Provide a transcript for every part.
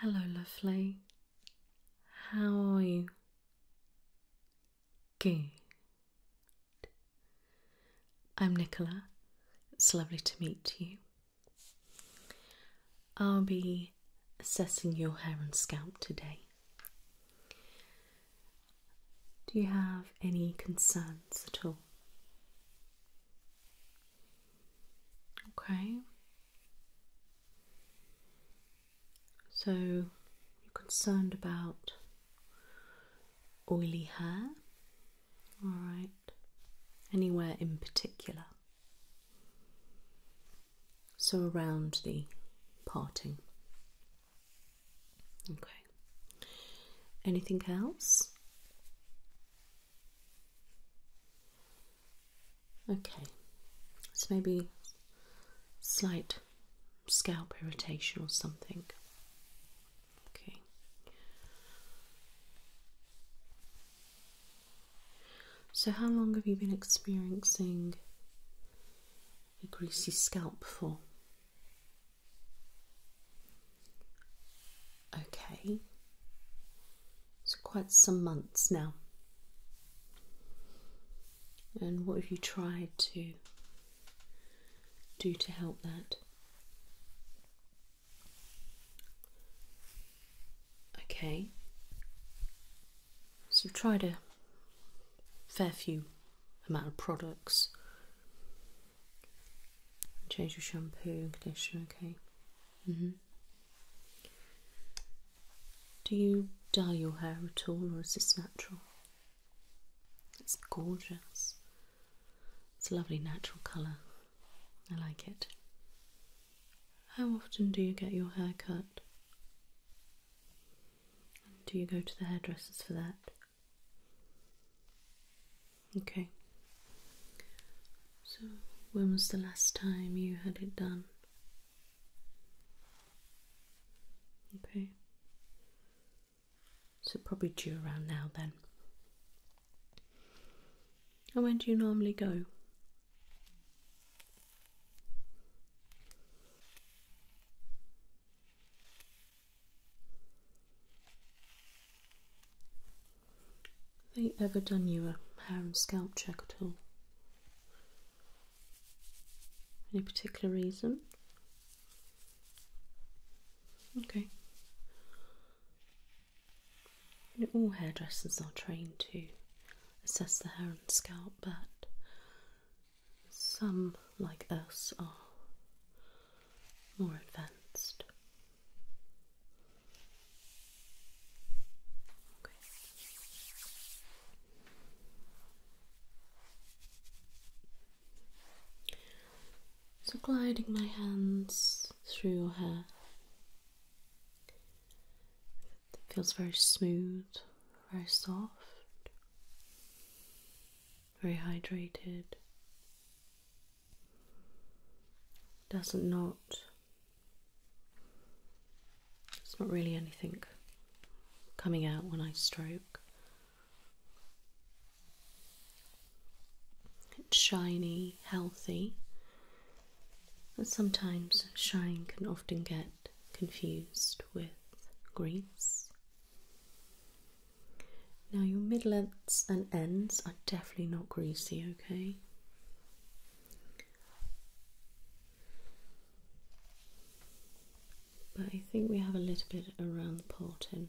Hello, lovely. How are you? Good. I'm Nicola. It's lovely to meet you. I'll be assessing your hair and scalp today. Do you have any concerns at all? Okay. So you're concerned about oily hair? Alright. Anywhere in particular? So around the parting Okay. Anything else? Okay. So maybe slight scalp irritation or something. Okay. So, how long have you been experiencing a greasy scalp for. Okay, it's quite some months now. And what have you tried to do to help that? Okay, so you have tried a fair few amount of products. Change your shampoo and conditioner, okay. Mm-hmm. Do you dye your hair at all or is this natural? It's gorgeous. It's a lovely natural colour. I like it. How often do you get your hair cut? do you go to the hairdressers for that? Okay. So, when was the last time you had it done? Okay. So, probably due around now then. And when do you normally go? Have they ever done you a hair and scalp check at all? Any particular reason? Okay. all hairdressers are trained to assess the hair and scalp, but some, like us are more advanced. So, gliding my hands through your hair. It feels very smooth very soft, very hydrated, doesn't not, it's not really anything coming out when I stroke. It's shiny, healthy, and sometimes shine can often get confused with greases. Now, your mid-lengths and ends are definitely not greasy, okay? But I think we have a little bit around the parting.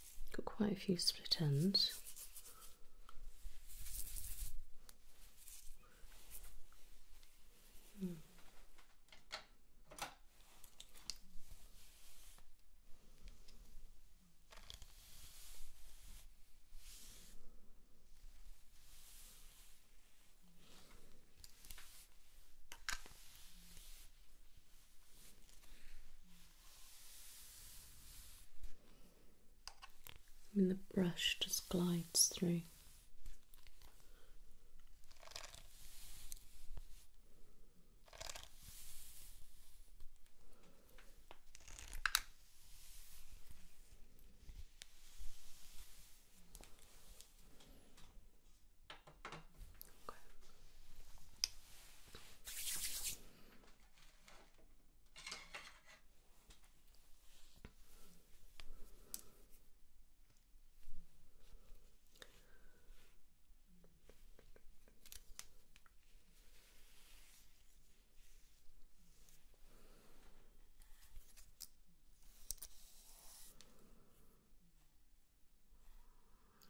Got quite a few split ends. I mean, the brush just glides through.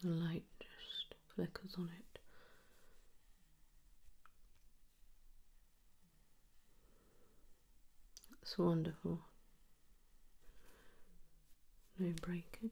The light just flickers on it it's wonderful. No breakage.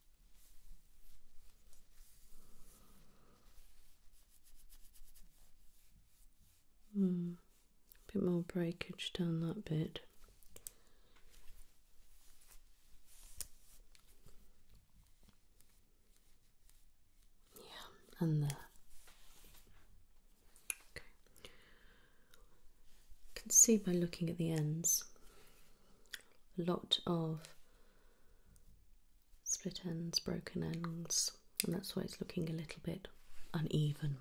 Mm, a bit more breakage down that bit. Yeah, and there. Okay. can see by looking at the ends a lot of split ends, broken ends, and that's why it's looking a little bit uneven.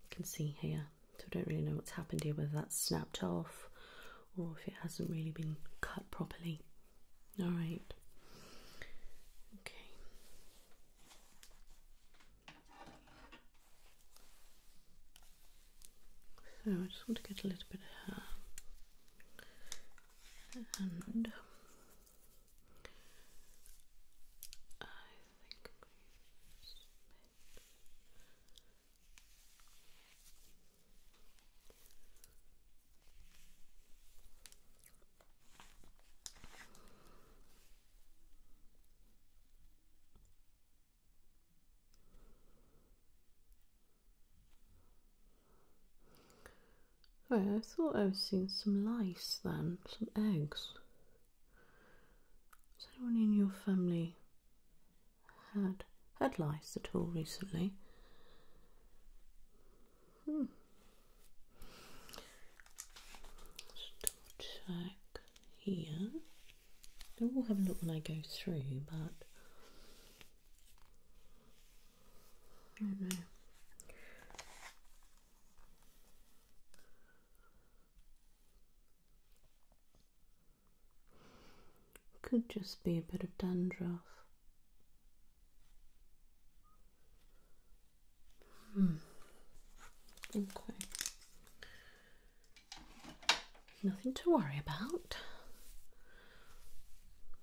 You can see here, so I don't really know what's happened here, whether that's snapped off or if it hasn't really been cut properly. Alright. Okay. So I just want to get a little bit of hair, and I think i I thought I was seeing some lice then, some eggs. Has anyone in your family had had lice at all recently? Hmm. Let's check here. I will have a look when I go through, but I don't know. Could just be a bit of dandruff. Hmm. Okay. Nothing to worry about.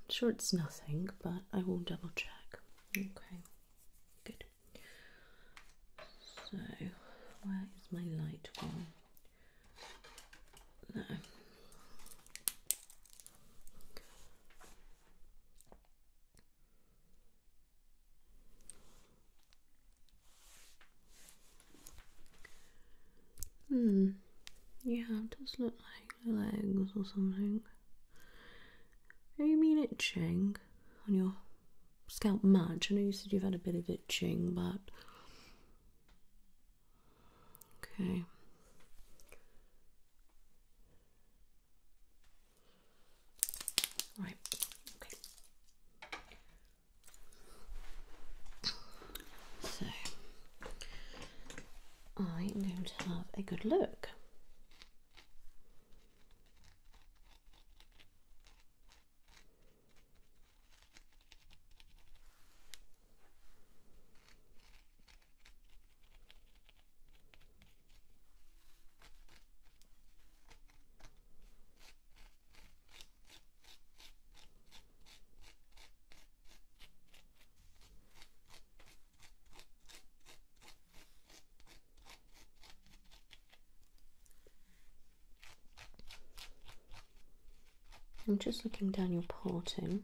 I'm sure it's nothing, but I will double check. Okay, good. So, where is my light gone? No. Hmm. Yeah, it does look like legs or something. Do you mean itching on your scalp much? I know you said you've had a bit of itching, but. Okay. Right. Okay. So I'm going to have a good look. I'm just looking down your parting.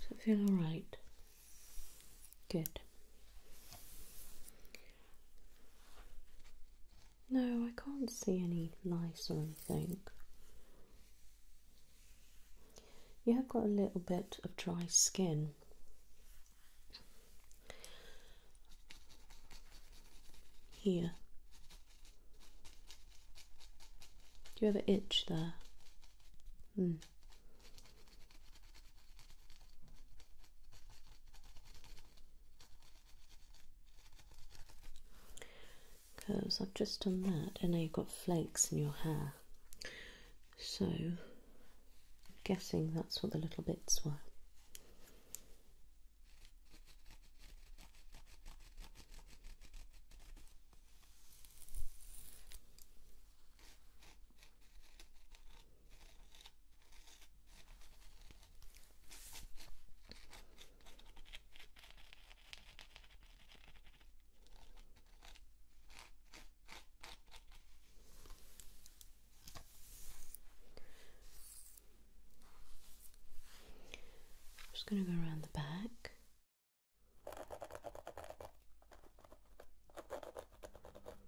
Does it feel alright? Good. No, I can't see any lice or anything. You have got a little bit of dry skin. Here. Do you have a itch there? Hmm. Because I've just done that, and now you've got flakes in your hair. So, I'm guessing that's what the little bits were. I'm just going to go around the back.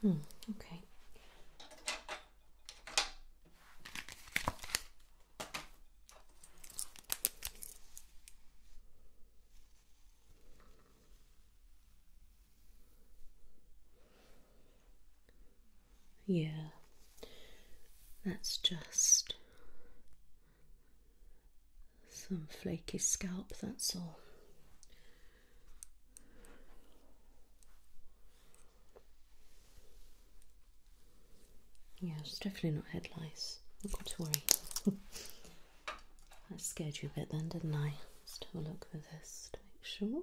Hmm, okay. Yeah, that's just some flaky scalp, that's all. Yeah, it's definitely not head lice. I've got to worry. I scared you a bit then, didn't I? Let's have a look for this to make sure.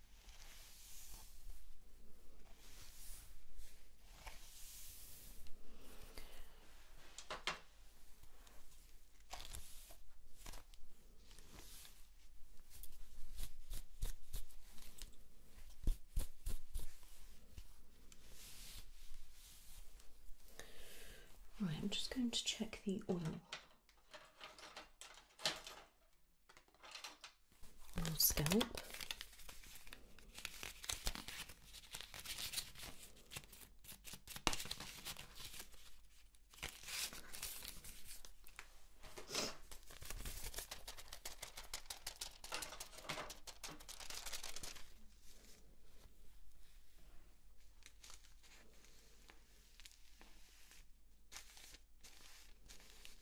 Right, I'm just going to check the oil little scalp.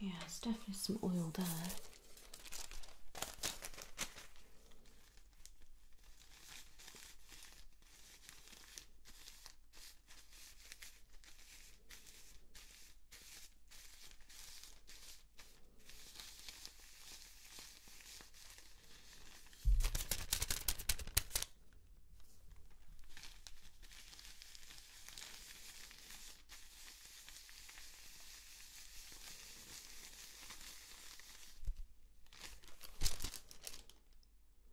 Yeah, there's definitely some oil there.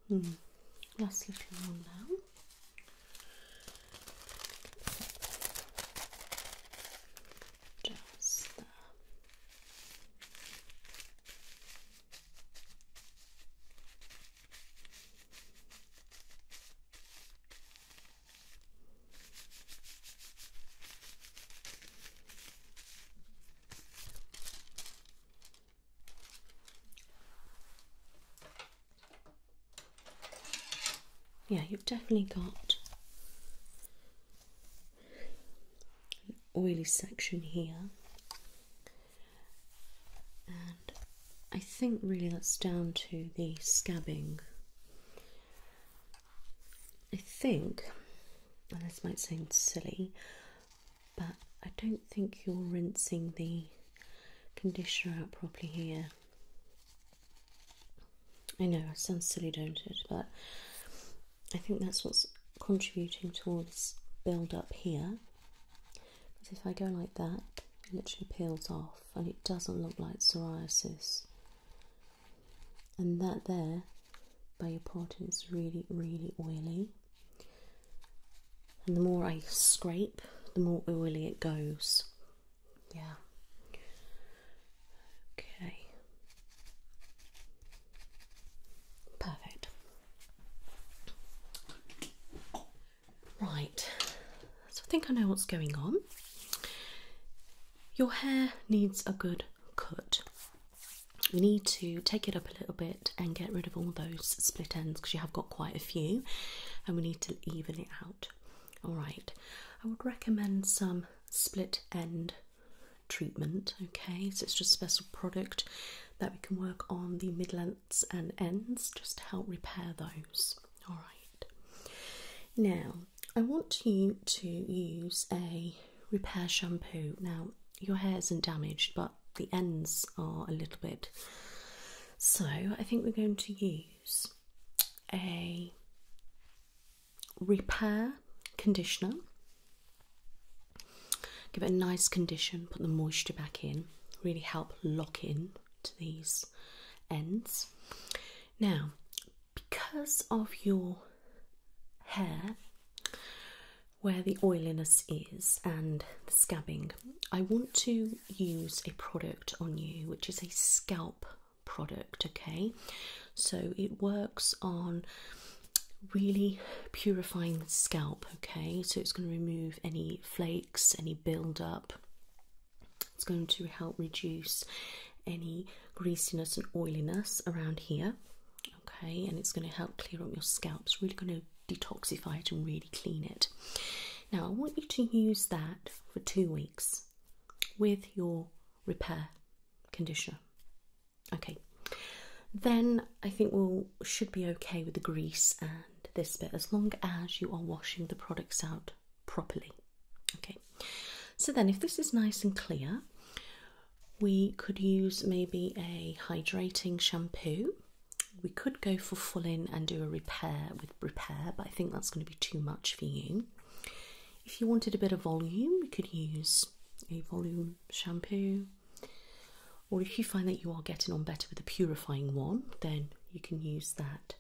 Hmm. Last little one now just the uh, yeah, you've definitely got oily section here, and I think really that's down to the scabbing. I think, and this might sound silly, but I don't think you're rinsing the conditioner out properly here. I know, it sounds silly, don't it? But I think that's what's contributing towards build up here. Because if I go like that, it literally peels off and it doesn't look like psoriasis. And that there, by your pot, is really, really oily. And the more I scrape, the more oily it goes. Yeah. Okay. Perfect. Right, so I think I know what's going on. Your hair needs a good cut. We need to take it up a little bit and get rid of all those split ends because you have got quite a few and we need to even it out. Alright, I would recommend some split end treatment. Okay, so it's just a special product that we can work on the mid lengths and ends just to help repair those. All right, now I want you to use a repair shampoo. Now, your hair isn't damaged, but the ends are a little bit. So, I think we're going to use a repair conditioner. Give it a nice condition, put the moisture back in, really help lock in to these ends. Now, because of your hair, where the oiliness is and the scabbing, I want to use a product on you which is a scalp product, okay? So it works on really purifying the scalp, okay? So it's going to remove any flakes, any build-up. It's going to help reduce any greasiness and oiliness around here, okay? And it's going to help clear up your scalp. It's really going to detoxify it and really clean it. Now, I want you to use that for two weeks with your repair conditioner. Okay, then I think we will should be okay with the grease and this bit as long as you are washing the products out properly. Okay, so then if this is nice and clear, we could use maybe a hydrating shampoo. We could go for full in and do a repair with repair, but I think that's going to be too much for you. If you wanted a bit of volume, we could use a volume shampoo. Or if you find that you are getting on better with a purifying one, then you can use that.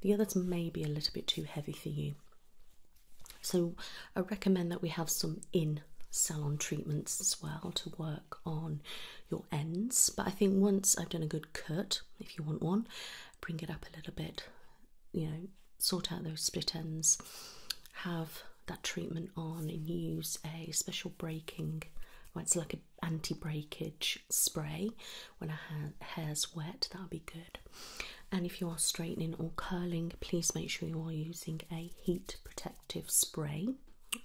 The others may be a little bit too heavy for you. So I recommend that we have some in salon treatments as well to work on your ends. But I think once I've done a good cut, if you want one, bring it up a little bit, you know, sort out those split ends, have that treatment on, and use a special breaking. Well, it's like an anti-breakage spray when a ha hair's wet. That'll be good. And if you are straightening or curling, please make sure you are using a heat protective spray.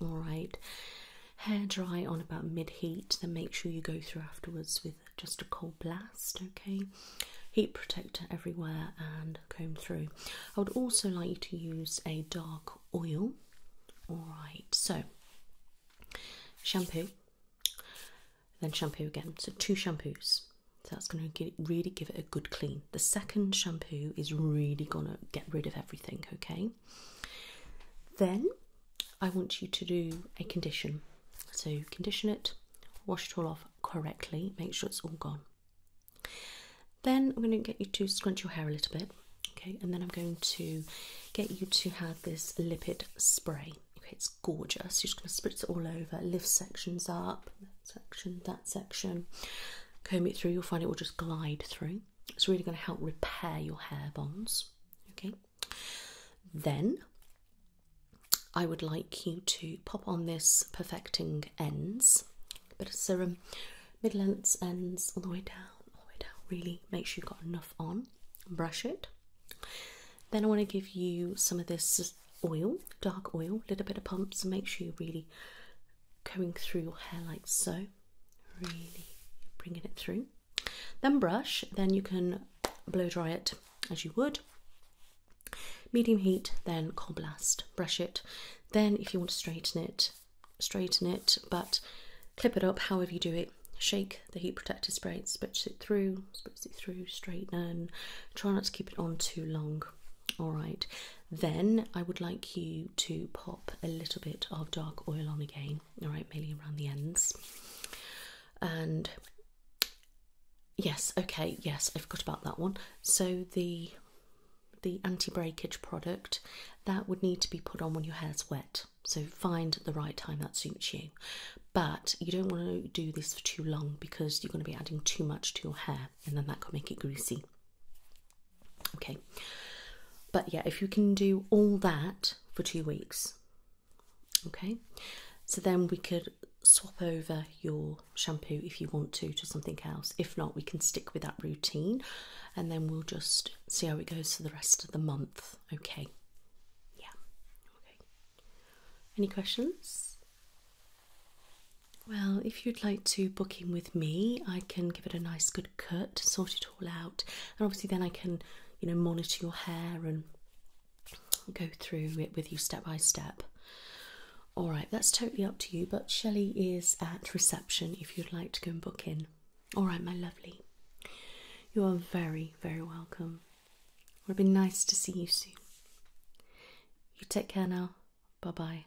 All right. Hair dry on about mid heat, then make sure you go through afterwards with just a cold blast. Okay heat protector everywhere and comb through. I would also like you to use a dark oil. Alright, so shampoo, then shampoo again. So, two shampoos. So that's going to really give it a good clean. The second shampoo is really going to get rid of everything, okay? Then I want you to do a condition. So, condition it, wash it all off correctly, make sure it's all gone. Then I'm going to get you to scrunch your hair a little bit, okay, and then I'm going to get you to have this lipid spray. Okay, it's gorgeous. You're just going to spritz it all over, lift sections up, that section, that section, comb it through. You'll find it will just glide through. It's really going to help repair your hair bonds. Okay, then I would like you to pop on this perfecting ends, a bit of serum, mid lengths ends all the way down, all the way down. Really make sure you've got enough on. Brush it. Then I want to give you some of this oil, dark oil, little bit of pumps, and make sure you're really going through your hair like so. Really bringing it through. Then brush. Then you can blow dry it as you would. Medium heat, then cold blast. Brush it. Then, if you want to straighten it, straighten it, but clip it up however you do it. Shake the heat protector spray, spritz it through, spritz it through, straighten. Try not to keep it on too long. All right, then I would like you to pop a little bit of dark oil on again, all right, mainly around the ends. And Yes, okay, yes, I forgot about that one. So the the anti-breakage product that would need to be put on when your hair's wet. So find the right time that suits you. But you don't want to do this for too long because you're going to be adding too much to your hair and then that could make it greasy. Okay. But yeah, if you can do all that for two weeks, okay, so then we could swap over your shampoo if you want to to something else. If not, we can stick with that routine and then we'll just see how it goes for the rest of the month. Okay. Yeah. Okay. Any questions? Well, if you'd like to book in with me, I can give it a nice good cut, sort it all out, and obviously then I can, you know, monitor your hair and go through it with you step by step. All right, that's totally up to you, but Shelley is at reception if you'd like to go and book in. All right, my lovely. You are very, very welcome. It'll be nice to see you soon. You take care now. Bye bye.